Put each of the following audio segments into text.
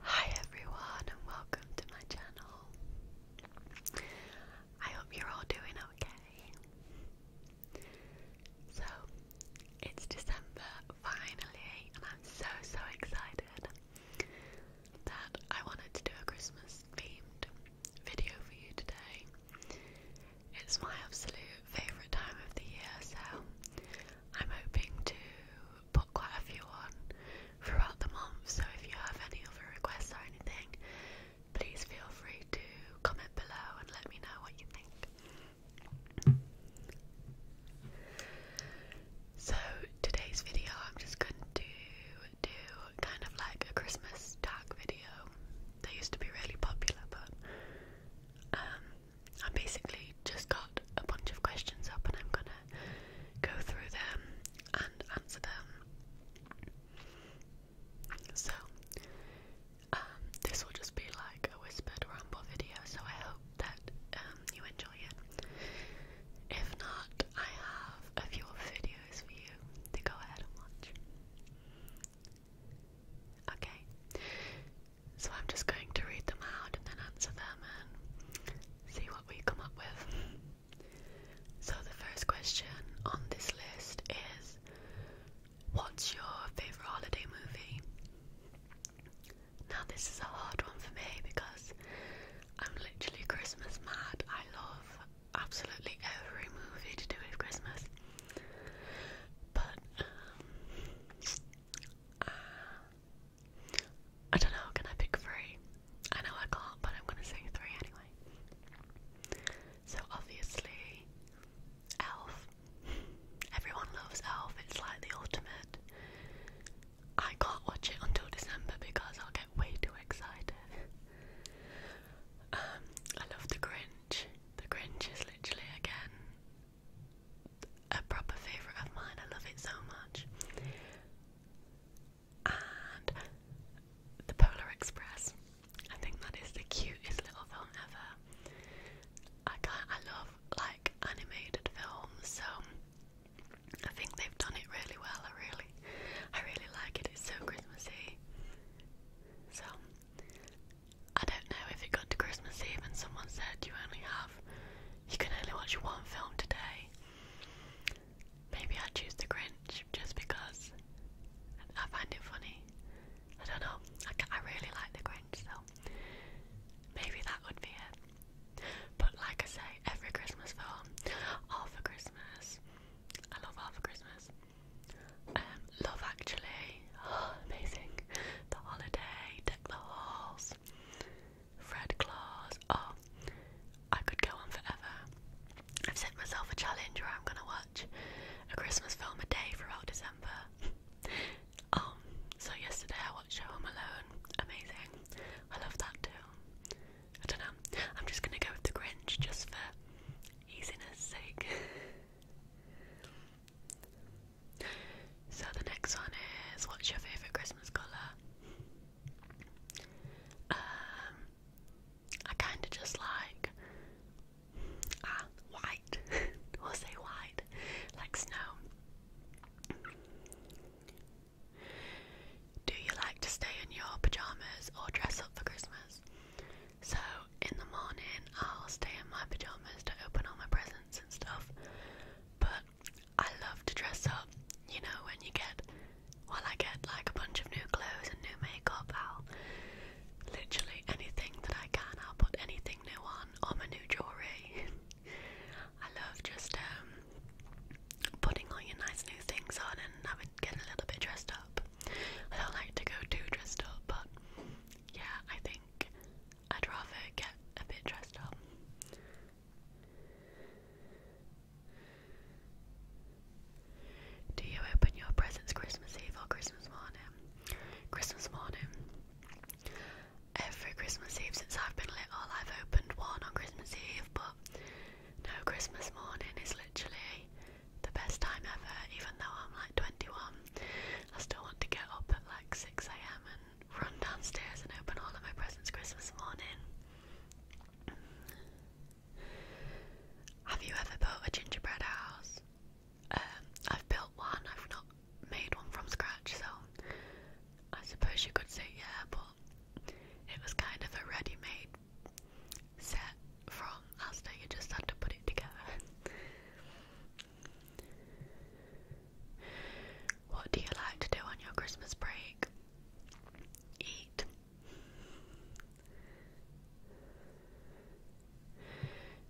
Hi everyone and welcome to my channel. I hope you're all doing okay. So, it's December finally and I'm so so excited that I wanted to do a Christmas themed video for you today. It's my absolute favourite time of the year, so I'm hoping to put quite a few on throughout the month. So if you have any other requests or anything, please feel free to comment below and let me know what you think. So today's video, I'm just going to do kind of like a Christmas tag video. They used to be really popular, but um, I basically just got a bunch of questions up and I'm gonna go through them and answer them. So, um, this will just be like a whispered ramble video, so I hope that um, you enjoy it. If not, I have a few videos for you to go ahead and watch. Okay, so I'm just going to read them out and then answer them and see what we come up with. So the first question on this list is What's your favourite holiday movie? Now, this is a hard one for me because I'm literally Christmas mad. I love absolutely every movie to do with Christmas. But um, I don't know. Can I pick three? I know I can't, but I'm gonna say three anyway. So obviously, Elf. Everyone loves Elf. It's like the ultimate. I can't watch it until December because I'll get way too excited. Um, I love The grin. The Grinch is literally again a proper favourite of mine. I love it so much. And the Polar Express. I think that is the cutest little film ever. I can't, I love like animated films, so I think they've done it really well. I really, I really like it. It's so Christmassy. So I don't know if it got to Christmas Eve and someone said you only have, you can only watch one film today. Maybe I'd choose The Grinch just because I find it funny. I don't know. I, I really like The Grinch, so maybe that would be it. But like I say, every Christmas film, All for Christmas. I love All for Christmas. Um, love Actually, oh, amazing. The Holiday, Deck the Halls, Fred Claus. Oh, I could go on forever. I've set myself a challenge where I'm gonna watch a Christmas film a day throughout December. um, so yesterday I watched Home Alone. Amazing. I love that too. I don't know. I'm just gonna go with the Grinch just for easiness sake. So the next one is what's your favourite Christmas colour? Um, I kinda just like ah, white. we'll say white. Like snow. Do you like to stay in your pajamas or dress up for Christmas? So in the morning I'll stay in my pajamas to open all my presents and stuff. But I love to dress up, you know, when you get well I get like a bunch of new clothes and new makeup, I'll literally anything that I can, I'll put anything new on, or my new jewellery. I love just um putting all your nice new things on and having getting a little bit dressed up. I don't like to go too dressed up but yeah, I think I'd rather get a bit dressed up. Do you open your presents Christmas Eve or Christmas morning? Christmas morning. Every Christmas Eve since I've been little, I've opened one on Christmas Eve, but no, Christmas morning is literally the best time ever, even though I'm like 21. I still want to get up at like 6 a.m. and run downstairs and open all of my presents Christmas morning. Have you ever built a gingerbread house? Um, I've built one, I've not made one from scratch, so I suppose you could say yeah, but it was kind of a ready made set from Asda, you just had to put it together. What do you like to do on your Christmas break? Eat.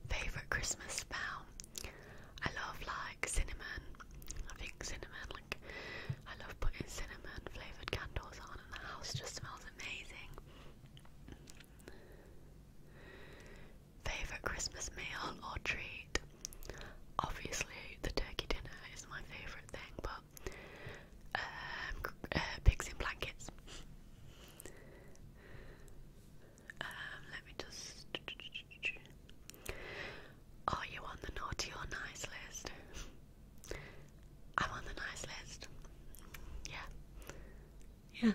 Favorite Christmas smell? I love like cinnamon. I think cinnamon, like I love putting cinnamon flavored candles on, and the house just smells amazing. Favorite Christmas meal or treat? Obviously, the turkey dinner is my favorite thing, but um, uh, pigs in blankets. Um, let me just. Are you on the naughty or nice list? I'm on the nice list. Yeah. Yeah.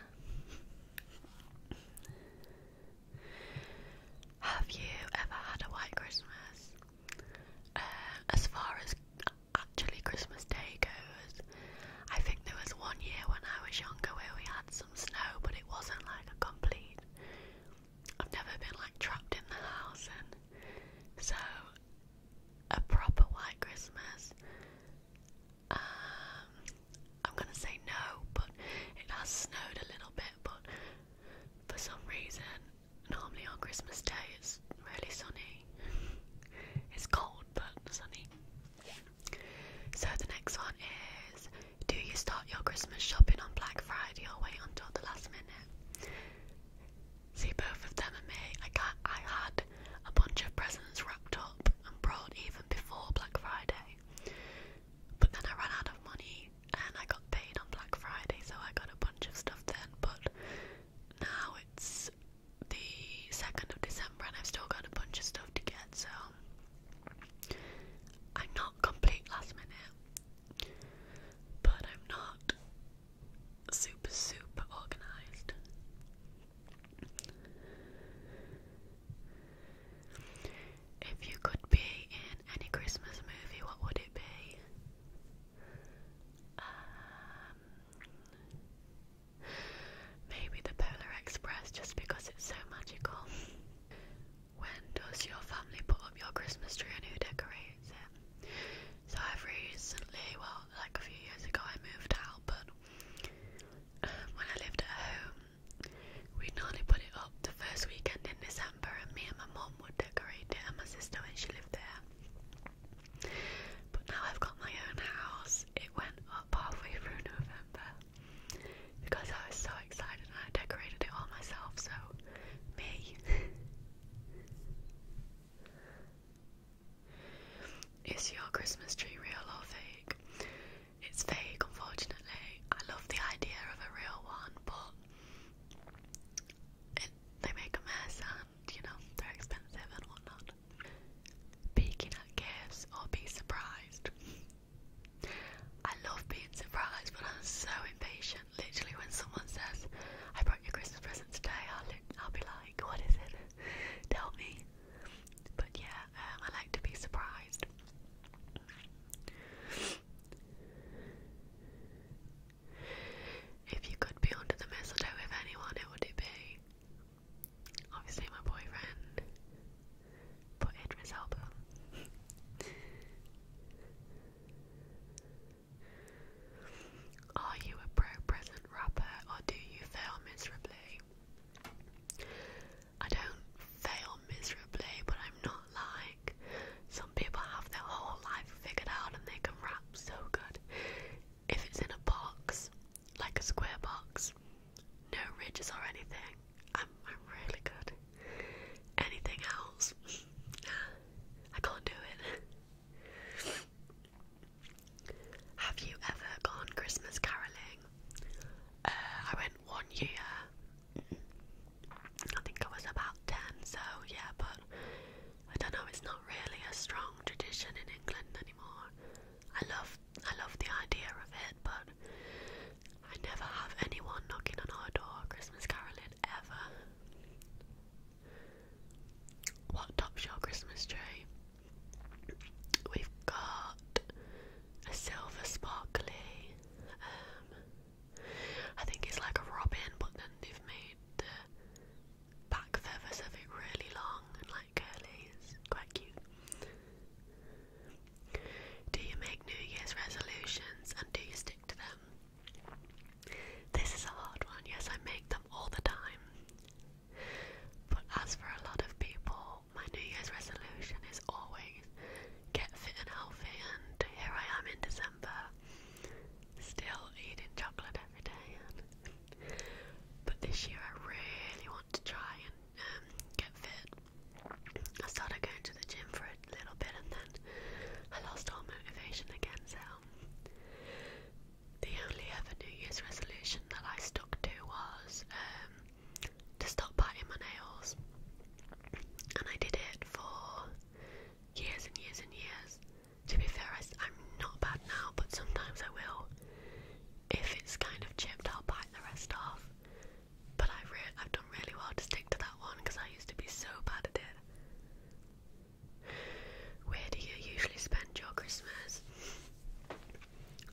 Have you ever had a white Christmas? Uh, as far as actually Christmas Day goes, I think there was one year when I was younger where we had some snow, but it wasn't like a complete. I've never been like trapped in the house, and so a proper white Christmas um, I'm gonna say no, but it has snowed a little bit. But for some reason, normally on Christmas Day it's really sunny. it's cold but sunny. So the next one is: Do you start your Christmas shopping on Black Friday or wait until the last minute? See, both of them and me, I, got, I had a bunch of presents wrapped up and brought even before Black Friday. But then I ran out of money and I got paid on Black Friday, so I got a bunch of stuff then. But now it's the 2nd of December and I've still got a bunch of stuff to get, so I'm not complete last minute. But I'm not super, super organized. If you could be in any Christmas movie, what would it be? Um, maybe The Polar Express, just because it's so magical. when does your family put up your Christmas tree and who decorates it? So I've recently, well, like a few years ago, I moved out, but um, when I lived at home, we normally put it up the first weekend in December, and me and my mum would decorate it, and my sister when she lived there. But now I've got my own house, it went up halfway through November because I was so excited and I decorated it all myself, so me. Is your Christmas tree real or fake? It's fake, unfortunately. I love the idea of a real one, but they make a mess and, you know, they're expensive and whatnot. Peeking at gifts or be surprised. I love being surprised, but I'm so impatient. Literally, when someone says, I brought you a Christmas present today, I'll, I'll be like, like, what is it? Tell me. But yeah, um, I like to be surprised. If you could be under the mistletoe with anyone, who would it be? Obviously, my boyfriend, but Idris Elba. Are you a pro present rapper or do you fail miserably? I don't fail miserably, but I'm not like some people have their whole life figured out and they can rap so good. If it's in a box, like a square box, no ridges or anything, I'm, really good. Anything else, I can't do it. Have you ever gone Christmas carolling? Uh, I went one year. I think I was about 10, so yeah, but I don't know, it's not really a strong tradition in England anymore. I love I love the idea of it, but I never have anyone knocking on our door Christmas caroling ever. What top shell Christmas tree? We've got a silver sparkly. Um, I think it's like a robin, but then they've made the back feathers of it really long and like curly. It's quite cute. Do you make New Year's resolutions and do you stick to them? This is a hard one, yes, I make them all the time. But as for a lot of people, my New Year's resolution is always get fit and healthy, and here I am in December, still eating chocolate every day. but this year I really want to try and um, get fit. I started going to the gym for a little bit and then I lost all motivation again, so the only ever New Year's resolution that I stuck to was um, to stop biting my nails, and I did it for years and years and years. To be fair, I'm not bad now, but sometimes I will. If it's kind of chipped, I'll bite the rest off. But I've, really, I've done really well to stick to that one because I used to be so bad at it. Where do you usually spend your Christmas?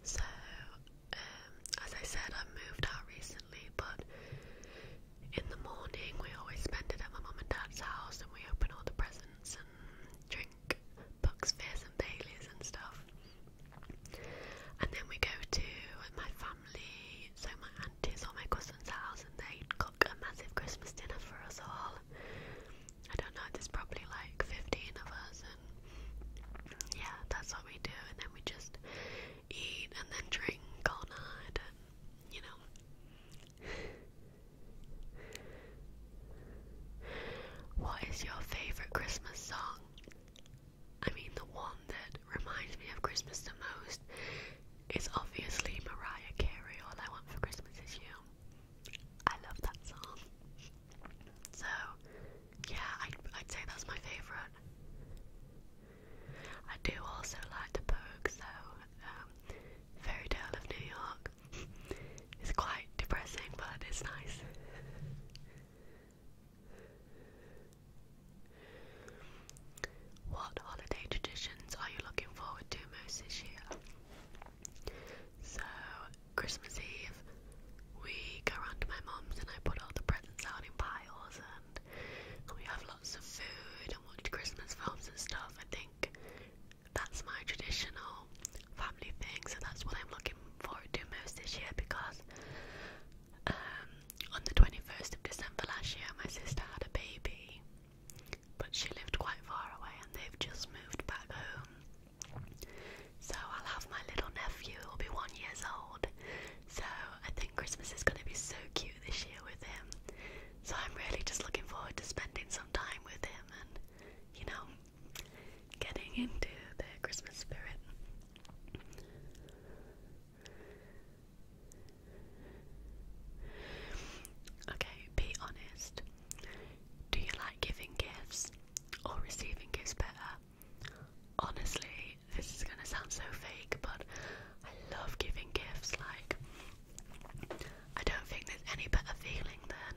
So, um, as I said, I moved out recently, but in the morning we always spend it at my mum and dad's house and we open all the presents and drink Bucks Fizz and Baileys and stuff. And then we go to my family, so my auntie's or my cousin's house, and they a massive Christmas dinner for us all. I don't know, there's probably like 15 of us, and yeah, that's what we do. And then we just eat and then drink all night, and you know. what is your favourite Christmas song? I mean, the one that reminds me of Christmas the most it's obviously Mariah Carey, All I Want for Christmas Is You. I love that song. So, yeah, I'd, say that's my favourite. I do also like the Pogues, So Um, Fairy Tale of New York. it's quite depressing, but it's nice. What holiday traditions are you looking forward to most this year? So, Christmas Eve, we go round to my mum's and I put all the presents out in piles and we have lots of food and watch Christmas films and stuff. I think that's my traditional family thing, so that's what I'm looking forward to most this year because um, on the 21st of December last year, my sister had a baby but she lived quite far away and they've just moved back home. So I'll have my little nephew, he'll be one years old. So I think Christmas is going to be so cute this year with him. So I'm really just looking forward to spending some time with him and, you know, getting into the Christmas spirit. Okay, be honest. Do you like giving gifts or receiving gifts better? Honestly, this is gonna sound so fake, but I love giving gifts. Like, I don't think there's any better feeling than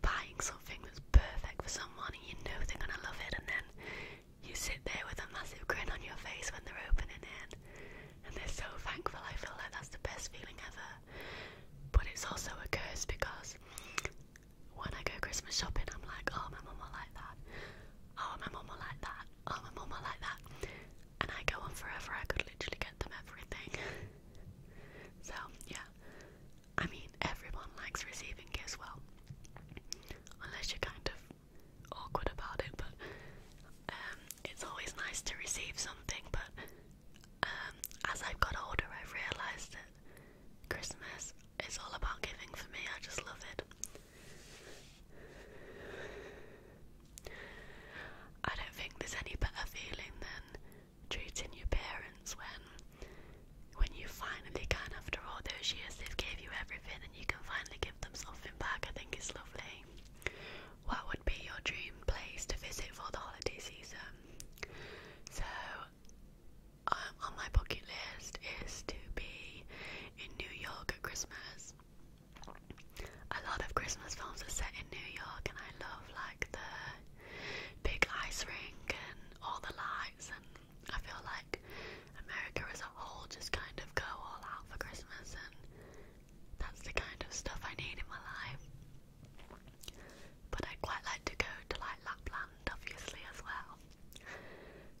buying something that's perfect for someone and you know they're gonna love it, and then you sit there with a massive grin on your face when they're opening it and they're so thankful. I feel like that's the best feeling ever. But it's also a curse because when I go Christmas shopping, I'm like, oh, my momma like that. Oh, my momma like that. Oh, my momma like that. And I go on forever. I could literally get them everything. so, yeah. I mean, everyone likes receiving gifts, well, unless you're kind of awkward about it, but um, it's always nice to receive something. But um, as I've got older, I've realised that Christmas is all about giving for me. I just love it. I don't think there's any better feeling than treating your parents when when you finally can after all those years they've gave you everything and you can finally give them something back. I think it's lovely. What would be your dream place to visit for the holiday season? So, um, on my bucket list is to be in New York at Christmas. A lot of Christmas films are set in New York, and I love like the big ice rink and all the lights. And I feel like America as a whole just kind of go all out for Christmas, and that's the kind of stuff I need in my life. But I'd quite like to go to like Lapland, obviously, as well,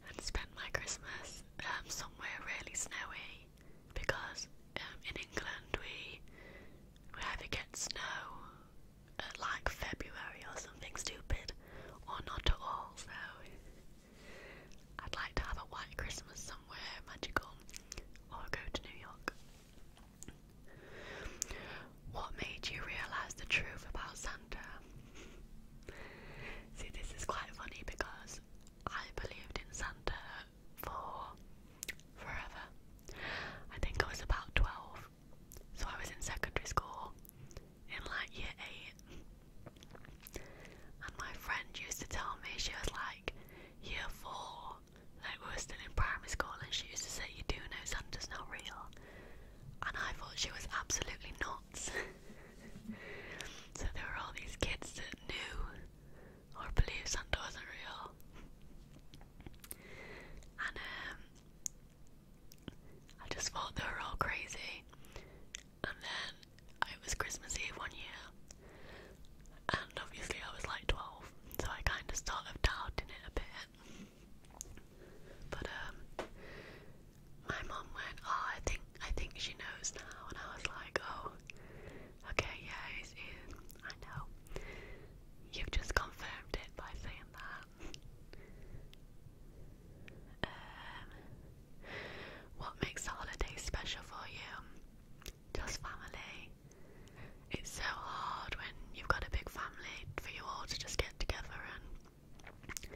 and spend my Christmas um, somewhere really snowy because um, in England we we either get snow uh, like February or something stupid, or not at all. So I'd like to have a white Christmas somewhere magical or go to New York. What made you realise the truth about Santa? See, this is quite funny because I believed in Santa for forever. I think I was about 12, so I was in secondary school in like year 8. And my friend used to tell me, she was like, year four, like we were still in primary school, and she used to say, You do know Santa's not real. And I thought she was absolutely nuts. so there were all these kids that knew or believed Santa wasn't real. And um, I just thought they were all crazy and then it was Christmas Eve one year, and obviously I was like 12, so I kind of started doubting it a bit. But um, my mom went, "Oh, I think I think she knows now," and I was like, "Oh, okay, yeah, I know." You've just confirmed it by saying that. Um, what makes the holiday special for you? Just family. It's so hard when you've got a big family for you all to just get together and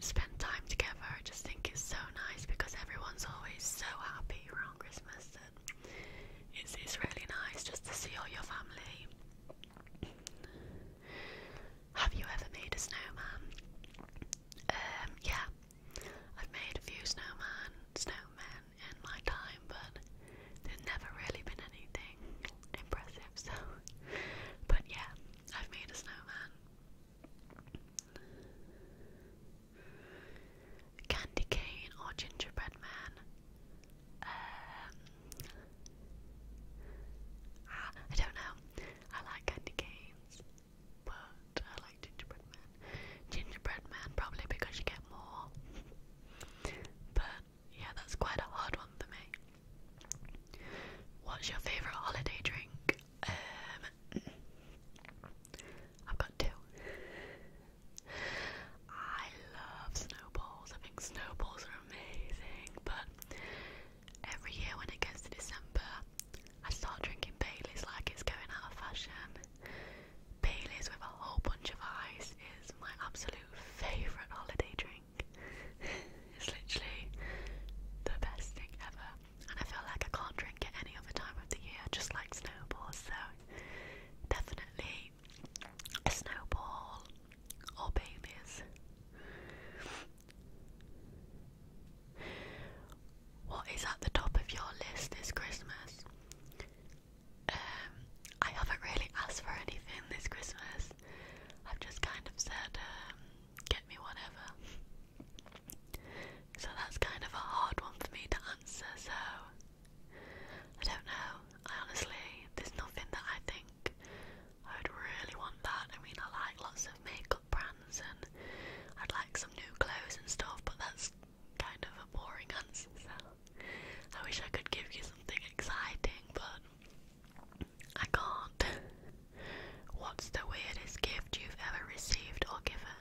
spend time together. I just think it's so nice because everyone's always so happy around Christmas and it's, it's really nice just to see all your family. Have you ever made a snowman? Um, yeah, I've made a few snowman, snowmen in my time, but there's never really been anything impressive, so. But yeah, I've made a snowman. Candy cane or gingerbread man? Um, ah, I don't know. I like candy canes but I like gingerbread man. Gingerbread man probably because you get more. but yeah, that's quite a hard one for me. What's your favourite holiday drink? Um, I've got two. I love snowballs. I think snowballs are amazing, but Every year when it gets to December, I start drinking Baileys like it's going out of fashion. Baileys with a whole bunch of ice is my absolute favourite holiday drink. it's literally the best thing ever, and I feel like I can't drink it any other time of the year, just like snowballs. So, definitely a snowball or Baileys. What is at the top of your list this Christmas? Um, I haven't really asked for anything this Christmas. I've just kind of said, um, get me whatever. So that's kind of a hard one for me to answer, so I don't know. I honestly, there's nothing that I think I would really want that. I mean, I like lots of makeup makeup brands and I'd like some new clothes and stuff, but that's kind of a boring answer, so I wish I could give you something exciting, but I can't. What's the weirdest gift you've ever received or given?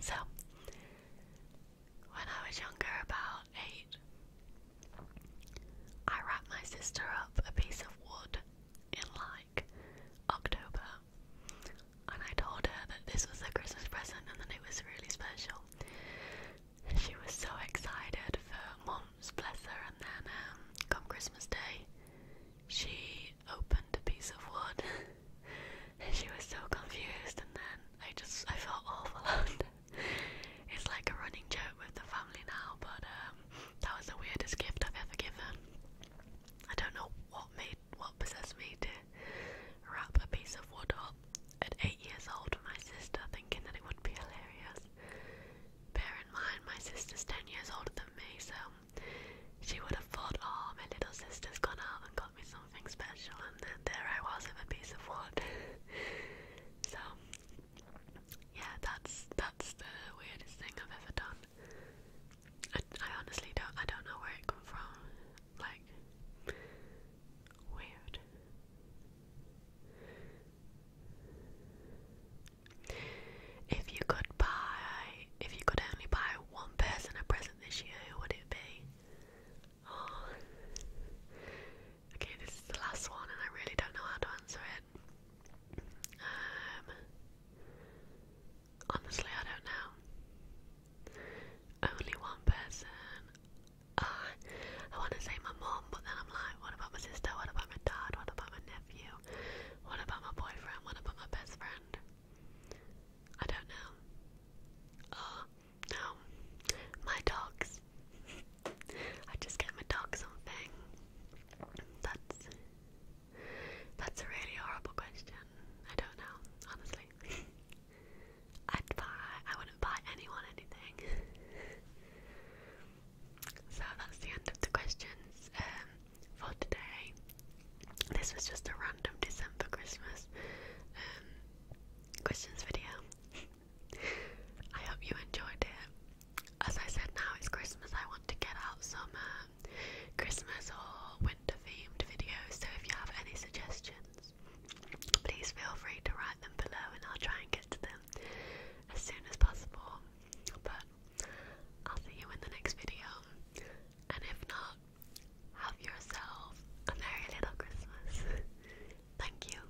So, when I was younger, about eight, I wrapped my sister up a piece of wood in like October, and I told her that this was a Christmas present and that it was really special. She was so excited for Mom's, bless her, and then um, come Christmas Day, she opened a piece of wood, and she was so confused, and then I just I felt awful. it's like a running joke with the family now, but um, that was the weirdest gift I've ever given. I don't know what made what possessed me to wrap a piece of wood up at eight years old for my sister, thinking that it would be hilarious. Bear in mind, my sister's ten years older than me, so she would have thought, "Oh, my little sister's gone out and got me something special," and then there I was with a piece of wood. so yeah, that's that's the weirdest thing I've ever done. I, honestly don't I don't know where it come from. Like weird. If you could buy if you could only buy one person a present this year, who would it be? Oh. Okay, this is the last one and I really don't know how to answer it. Um, honestly, I don't know. Only one person. Ah, I want to say my mom, but then I'm like, what about my sister? What about my dad? What about my nephew? What about my boyfriend? What about my best friend? I don't know. Ah, no. My dogs. I just get my dog something. That's that's a really horrible question. I don't know, honestly. I'd buy I wouldn't buy anyone anything. so that's the end of the questions um, for today. This was just a random December Christmas um, questions video. I hope you enjoyed it. As I said, now it's Christmas. I want to get out some um, Christmas or winter themed videos. So if you have any suggestions, please feel free to write them below and I'll try and get to them as soon as possible. But I'll see you in the next video. And if not, have yourself a merry little Christmas. Thank you.